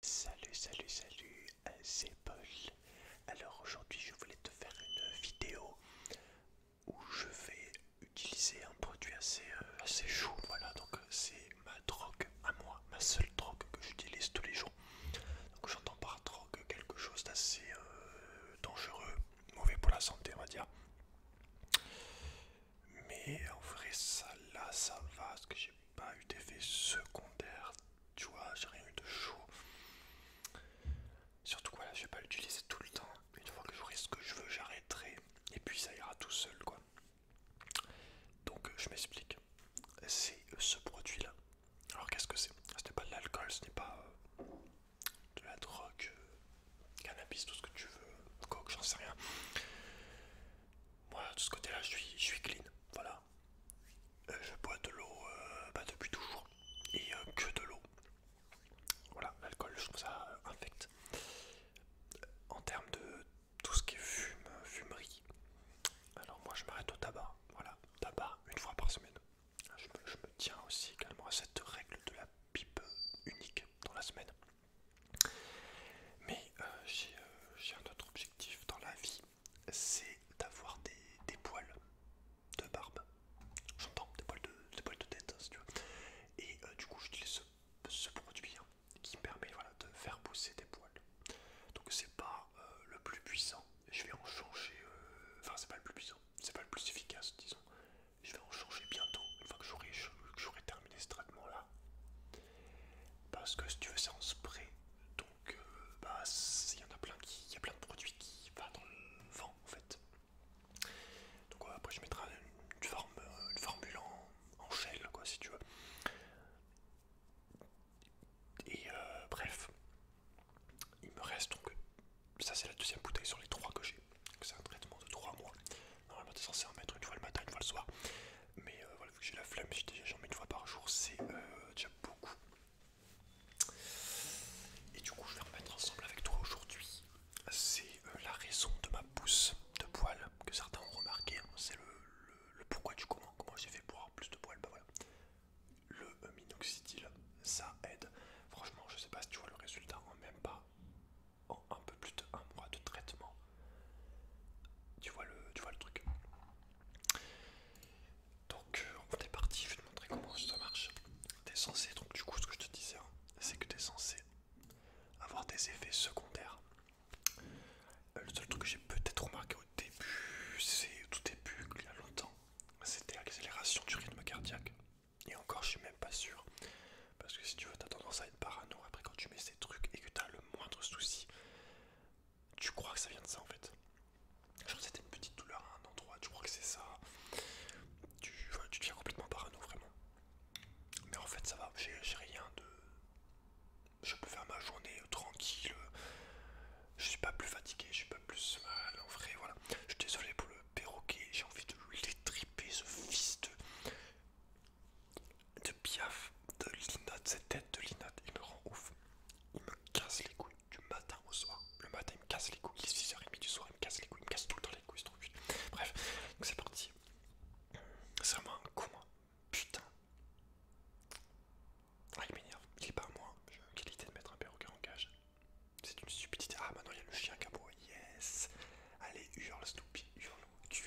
Salut, salut, salut, euh, c'est Paul. Alors aujourd'hui, je voulais te faire une vidéo où je vais utiliser un produit assez, euh, chaud. Voilà, donc c'est ma drogue à moi, ma seule drogue que j'utilise tous les jours. Donc j'entends par drogue quelque chose d'assez euh, dangereux, mauvais pour la santé, on va dire. Mais en vrai, ça là, ça va, ce que j'ai pas eu d'effet secondaire, tu vois, j'ai rien eu de chaud. Surtout là je vais pas l'utiliser tout le temps. Une fois que j'aurai ce que je veux, j'arrêterai et puis ça ira tout seul quoi. Donc euh, je m'explique. C'est euh, ce produit là. Alors qu'est-ce que c'est Ce n'est pas de l'alcool, ce n'est pas euh, de la drogue, cannabis, tout ce que tu veux, coke, j'en sais rien. Voilà, de ce côté-là, je suis, je suis clean. Voilà, euh, je bois de l'eau euh, bah, depuis toujours et euh, que de l'eau. Voilà, l'alcool, je trouve ça infecte. infect. En termes de tout ce qui est fume, fumerie, alors moi je m'arrête au tabac. Voilà, tabac une fois par semaine. Je me, tiens aussi également à cette règle de la pipe unique dans la semaine. Mais j'ai un autre objectif dans la vie, c'est d'avoir des, poils de barbe. J'entends, des, des poils de tête, hein, Et euh, du coup, j'utilise ce, ce produit qui hein, qui permet de faire pousser des poils. Donc, c'est pas euh, le plus puissant. Je vais en changer. Euh, enfin, c'est pas le plus puissant, c'est pas le plus efficace, disons. Je vais en changer bientôt, une fois que j'aurai terminé ce traitement là. Parce que si tu veux, c'est en spray. Donc, euh, bah, il y en a plein qui, il y a plein de produits qui va dans le vent en fait. Donc après, je mettrai une, euh, formule en, en gel, quoi, si tu veux. Et euh, bref, il me reste donc ça, c'est la deuxième bouteille sur les trois que j'ai. C'est un traitement de trois mois. Normalement, t'es censé en mettre une fois le matin, une fois le soir. Mais voilà vu que j'ai la flemme, déjà jamais une fois par jour, c'est euh, déjà beaucoup. Et du coup, je vais remettre ensemble avec toi aujourd'hui. C'est euh, la raison de ma pousse de poils que certains ont remarqué. Hein. C'est le, pourquoi du comment. Comment j'ai fait pour avoir plus de poils Bah voilà. Le minoxidil, ça aide. Franchement, je sais pas si tu vois le résultat en hein, même pas en un peu plus de mois de traitement. Tu vois le, tu vois le truc. Donc euh, on est parti, je vais te montrer comment ça marche. T'es censé, donc du coup ce que je te disais, hein, c'est que t'es censé avoir des effets secondaires. Euh, le seul truc que j'ai peut-être remarqué au début, c'est tout début, il y a longtemps, c'était l'accélération du rythme cardiaque. Et encore je suis même pas sûr. Parce que si tu veux, t'as tendance à être parano après quand tu mets ces trucs et que as le moindre souci tu crois que ça vient de ça en fait. Je que c'était une petite douleur à un endroit, tu crois que c'est ça. Tu, deviens complètement parano vraiment. Mais en fait ça va, j'ai rien de... Je peux faire ma journée euh, tranquille, euh, je suis pas plus fatigué, je suis pas plus mal en vrai, voilà. Je suis désolé pour le perroquet, j'ai envie de lui l'étriper ce fils de de piaf, de linotte, cette tête de linotte, il me rend ouf. Il me casse les couilles du matin au soir. Le matin, il me casse les couilles. Il est 6h30 du soir, il me casse les couilles. Il me casse tout le temps les couilles, trop Bref, donc c'est parti. C'est vraiment un con, hein. putain. Ah, il m'énerve. Il est pas à moi. J'ai la qualité de mettre un perroquet en cage. C'est une stupidité. Ah, maintenant il y a le chien qui Yes! Allez, hurle, Snoopy, hurle tu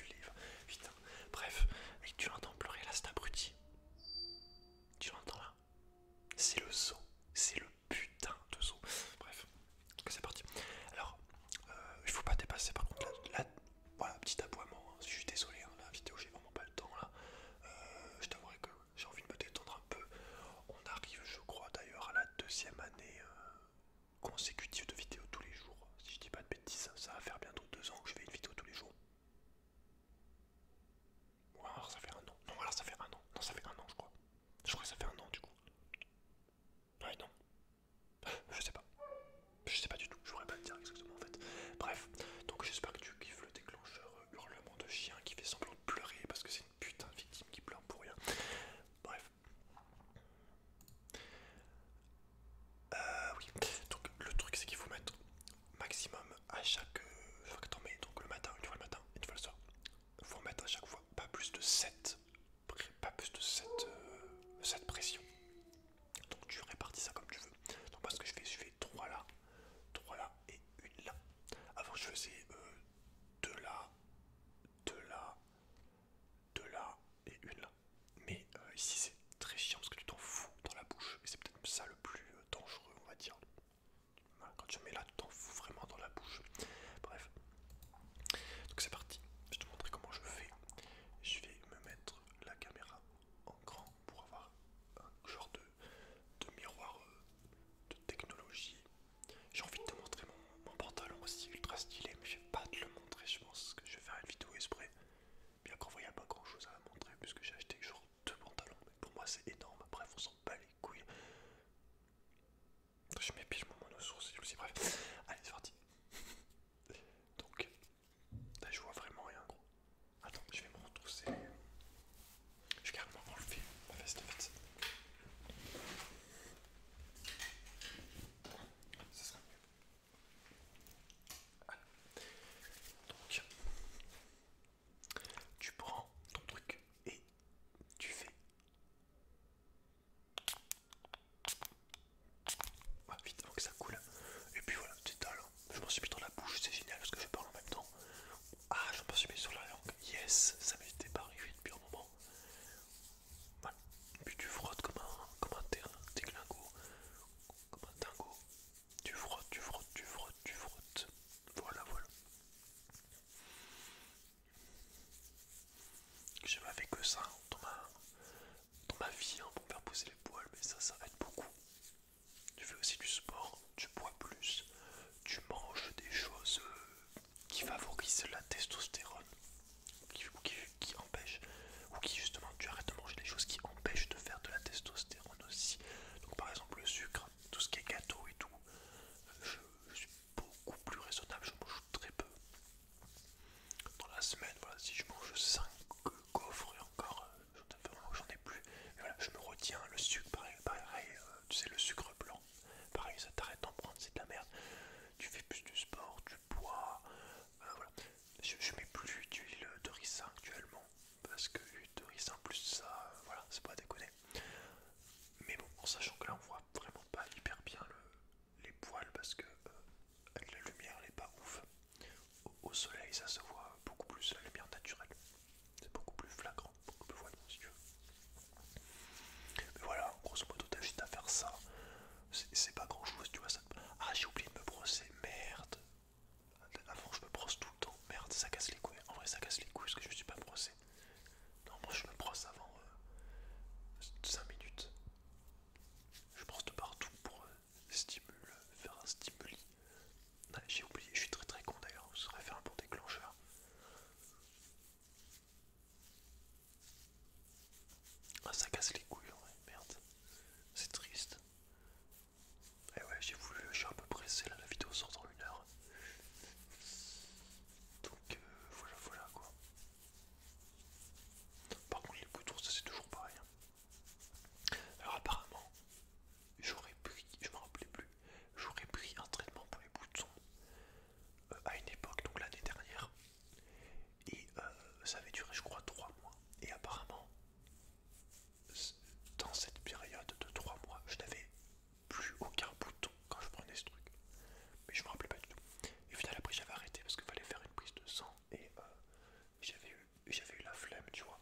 Putain, bref, tu l'entends pleurer là, cet abruti. Tu l'entends là C'est le zoo, c'est le putain de zoo. Bref, c'est parti. Alors, euh, il faut pas dépasser par contre la. voilà, petit aboiement, hein. je suis désolé, hein, la vidéo j'ai vraiment pas le temps là. Euh, je t'avouerai que j'ai envie de me détendre un peu. On arrive, je crois d'ailleurs, à la deuxième année euh, consécutive de vidéos tous les jours si je dis pas de bêtises, ça va faire bientôt deux ans que je fais une vidéo tous les jours. Ou alors ça fait un an. Non, alors ça fait un an. Non, ça fait un an, je crois. Je crois que ça fait un an du coup. Ouais, non. Je sais pas. Je sais pas du tout. Je pourrais pas te dire exactement en fait. Bref, donc j'espère que tu kiffes le déclencheur euh, hurlement de chien qui fait semblant de pleurer parce que c'est une putain de victime qui pleure pour rien. Bref. Euh, oui, donc le truc c'est qu'il faut mettre maximum à chaque euh, fois que t'en mets, donc le matin, une fois le matin, une fois le soir. il Faut mettre à chaque fois pas plus de 7, euh, pressions. Donc tu répartis ça comme tu veux. Donc moi ce que je fais, je fais 3 là, 3 là et 1 là. Avant je faisais 2 euh, là, 2 là, 2 là et une là mais euh, ici c'est très chiant parce que tu t'en fous dans la bouche et c'est peut-être ça le plus euh, dangereux on va dire hein, quand tu mets là tu t'en fous vraiment dans la bouche bref donc c'est parti je vais te montrer comment je fais je vais me mettre la caméra en grand pour avoir un genre de, miroir euh, de technologie j'ai envie de te montrer mon, pantalon aussi ultra stylé mais je vais pas te le montrer je pense que je vais faire une vidéo esprit bien qu'en vrai il pas grand chose à montrer puisque j'ai acheté genre deux pantalons, mais pour moi c'est énorme, bref on s'en bat les couilles. Je m'épile mon je vous aussi, bref. Allez c'est parti. Donc je vois vraiment rien gros. Attends, je vais me retrousser. Je vais carrément enlever ma veste fait. Ça sera mieux. Donc, tu prends ton truc et tu fais. vite avant que ça coule. Et puis voilà, c'est étales. Je m'en suis mis dans la bouche, c'est génial parce que je parle en même temps. Ah, je m'en suis mis sur la langue. Yes, ça m'était pas arrivé depuis un moment. Voilà. Et puis tu frottes comme un, comme un terrain comme un dingo. Tu frottes, tu frottes, tu frottes, tu frottes. Voilà, voilà. J'ai fait que ça hein, dans ma, vie on hein, pour faire pousser les poils, mais ça, ça aide beaucoup. Tu fais aussi du sport, tu bois plus, tu manges des choses euh, qui favorisent la testostérone qui, qui, empêche ou qui justement tu arrêtes de manger des choses qui empêchent de faire de la testostérone aussi. Donc par exemple le sucre, tout ce qui est gâteau et tout, euh, je, suis beaucoup plus raisonnable, je mange très peu. Dans la semaine, voilà, si je mange 5 coffres et encore, euh, j'en ai plus. et voilà, je me retiens, le sucre, pareil, pareil euh, tu sais, le sucre blanc, pareil, ça t'arrête d'en prendre, c'est de la merde. Tu fais plus du sport, tu bois, voilà. Je, mets plus d'huile de ricin actuellement parce que l'huile de ricin plus ça, euh, voilà, c'est pas déconné. Mais bon, en sachant que là on voit vraiment pas hyper bien les poils parce que euh, la lumière n'est pas ouf. Au, soleil ça se voit beaucoup plus, la lumière naturelle. C'est beaucoup plus flagrant, beaucoup plus voyant si tu veux. Mais voilà, grosso modo t'as juste à faire ça c'est pas grand chose, tu vois. Ça... Ah, j'ai oublié de me brosser, merde. Avant, je me brosse tout le temps, merde, ça casse les couilles. En vrai, ça casse les couilles parce que je me suis pas brossé. Non, moi je me brosse avant 5 euh, minutes. Je brosse de partout pour euh, stimule, faire un stimuli. j'ai oublié, je suis très très con d'ailleurs, on serait fait un bon déclencheur. Ah ça casse les couilles, ouais, merde. C'est triste. Et eh ouais, j'ai voulu, je suis un peu pressé la vidéo sort dans une heure. Donc euh, voilà, voilà quoi. Par contre les boutons, ça c'est toujours pareil. Hein. Alors apparemment, j'aurais pris, je me rappelais plus, j'aurais pris un traitement pour les boutons euh, à une époque, donc l'année dernière, et euh, ça avait duré, je crois, trois mois. Et apparemment, dans cette période de trois mois, je n'avais plus aucun bouton quand je prenais ce truc. Mais je me rappelais pas du tout. Et au après, j'avais arrêté parce qu'il fallait faire une prise de sang et euh, j'avais eu, la flemme, tu vois.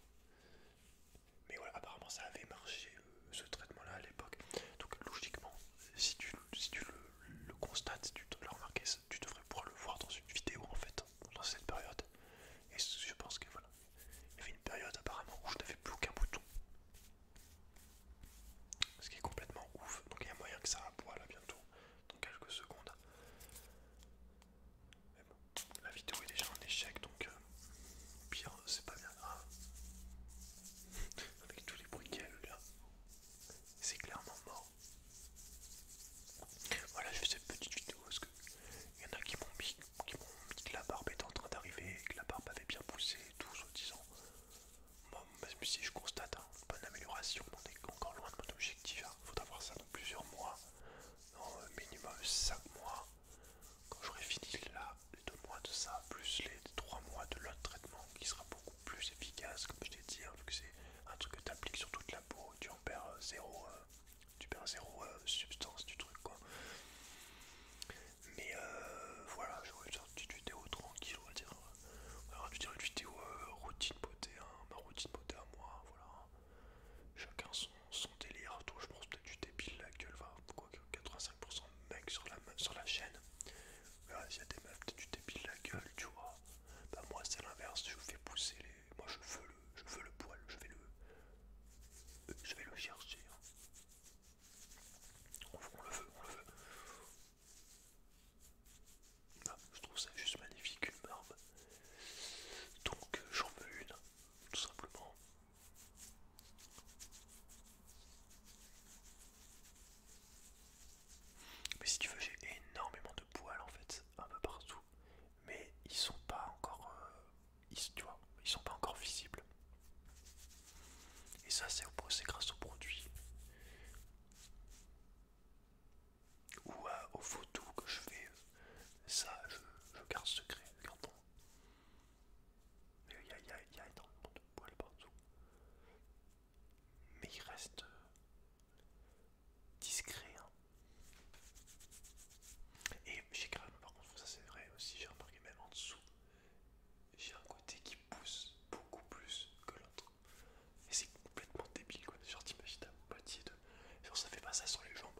Mais voilà, apparemment, ça avait marché euh, ce traitement-là à l'époque. Donc, logiquement, si tu, si tu le le constat tu l'as remarqué, tu devrais pouvoir le voir dans une vidéo en fait, dans cette période. Et je pense que voilà, il y avait une période apparemment où je n'avais plus aucun bouton. Ce qui est complètement ouf, donc il y a moyen que ça aboie là bientôt, dans quelques secondes. la vidéo est déjà un échec, donc euh, pire, c'est pas bien grave. Avec tous les bruits qu'elle là, c'est clairement mort. Voilà, je fais cette petite vidéo parce que il y en a qui m'ont dit que la barbe est en train d'arriver que la barbe avait bien poussé et tout, soi-disant. Moi, même si je constate hein, pas d'amélioration amélioration, on est encore loin de mon objectif. il hein. faudra voir ça dans plusieurs mois, dans euh, minimum 5 mois. Quand j'aurai fini là, les 2 mois de ça, plus les 3 mois de l'autre traitement qui sera beaucoup plus efficace, comme je t'ai dit, hein, vu que c'est un truc que tu appliques sur toute la peau, tu en perds euh, zéro, euh, euh, substance du truc quoi. Mais voilà, j'aurais une petite vidéo tranquille, on va dire. Alors, va dire une vidéo routine beauté, hein, ma routine beauté à moi, voilà. Chacun son, son délire, toi je pense peut-être du débile la gueule, va quoi, 85% de mecs sur la, sur la chaîne. Voilà, s'il y a des meufs, peut-être du débile la gueule, tu vois. Bah, moi c'est l'inverse, je fais pousser les... Moi je veux le, je veux le poil, je vais le... Je vais le chercher. Hein. On, le veut, on le veut. Ah, je trouve ça juste magnifique une barbe. Donc euh, j'en veux une, tout simplement. Mais si tu veux, j'ai énormément de poils en fait, un peu partout. Mais ils sont pas encore, euh, ils, sont pas encore visibles. Et ça, c'est grâce au produit ou euh, aux photos que je fais. Euh, ça, je, garde secret, mais Il y, y a énormément de poils partout mais il reste euh, discret. Hein. Et j'ai quand même par contre, ça c'est vrai aussi, j'ai remarqué même en dessous, j'ai un côté qui pousse beaucoup plus que l'autre. Et c'est complètement débile quoi, genre t'imagines un moitié de... Genre ça fait pas ça sur les jambes.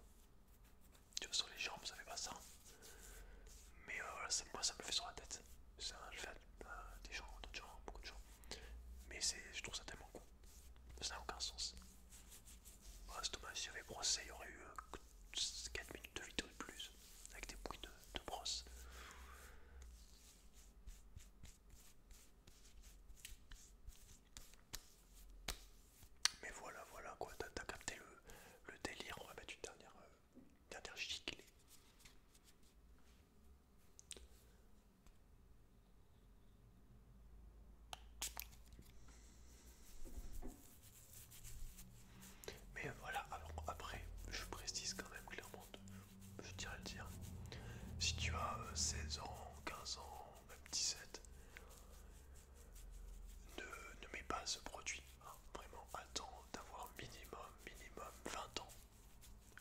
Tu vois, sur les jambes ça fait pas ça. Hein. Mais euh, voilà, ça, moi ça me fait sur la tête. Ça, euh, des gens, d'autres gens, beaucoup de gens. Mais je trouve ça tellement con. Ça n'a aucun sens. Ah c'est dommage, si j'avais brossé, il y aurait eu 4 euh, minutes de vidéo de plus, avec des bruits de, brosse. Mais voilà, voilà quoi, t'as capté le, délire, on va mettre une dernière, euh, dernière mais voilà, après, je précise quand même clairement, je dirais le dire, si tu as 16 euh, ans, 15 ans, même 17, ne, ne mets pas ce produit, hein. vraiment, attends d'avoir minimum, minimum 20 ans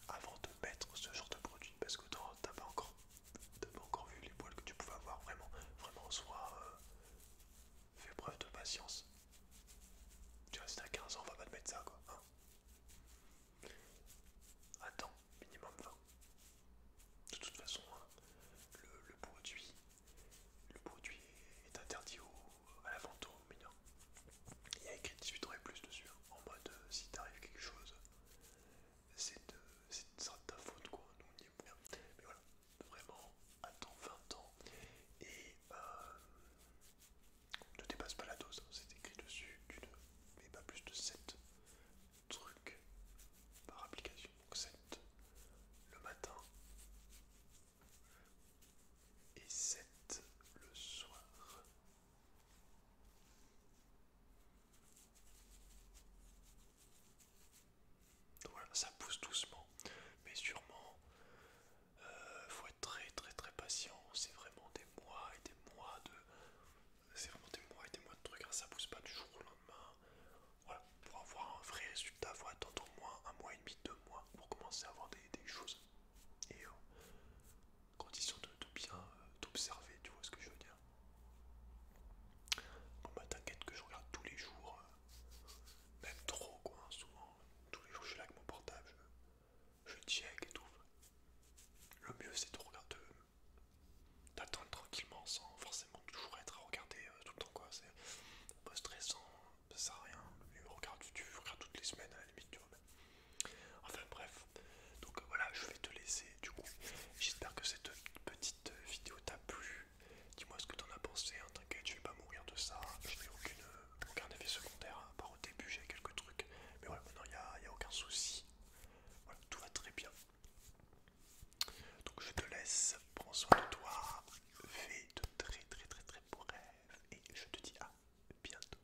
avant de mettre ce genre de produit parce que t'as pas encore pas encore vu les poils que tu pouvais avoir vraiment vraiment soit euh, fais preuve de patience tu restes à 15 ans on va pas te mettre ça quoi hein. attends minimum 20 de toute façon hein, le, produit le produit est interdit à la vente aux mineurs il y a écrit 18 ans et plus dessus, hein. en mode euh, si t'arrive quelque chose, c'est de, de, ta faute quoi, nous on y est Mais voilà, vraiment, attends 20 ans et euh, ne dépasse pas la dose, hein. c'est écrit dessus, tu ne mets pas plus de 7 trucs par application. Donc 7 le matin et 7 le soir. Donc voilà, ça pousse doucement, mais sûrement. Il euh, faut être très très très patient. C'est vraiment des mois et des mois de. C'est vraiment des mois et des mois de trucs. Hein. Ça pousse pas du jour au lendemain. Voilà, pour avoir un vrai résultat, faut attendre au moins un mois et demi, deux mois pour commencer à avoir des choses et euh, condition de, bien t'observer, euh, tu vois ce que je veux dire. Bon bah t'inquiète que je regarde tous les jours, euh, même trop quoi, hein, souvent, tous les jours je suis là avec mon portable, je, check et tout. Le mieux c'est de regarder, d'attendre tranquillement sans forcément toujours être à regarder tout le temps quoi, c'est pas stressant, ça sert à rien, regarde, tu, tu regardes toutes les semaines à la limite, Enfin bref, donc euh, voilà, je vais te laisser du coup. J'espère que cette petite vidéo t'a plu. Dis-moi ce que t'en as pensé, hein, t'inquiète, je vais pas mourir de ça. Hein. Je n'ai aucune aucun effet secondaire, hein, à part au début j'ai quelques trucs. Mais voilà, maintenant il n'y a, a aucun souci. Voilà, tout va très bien. Donc je te laisse, prends soin de toi, fais de très très très très beaux rêves et je te dis à bientôt.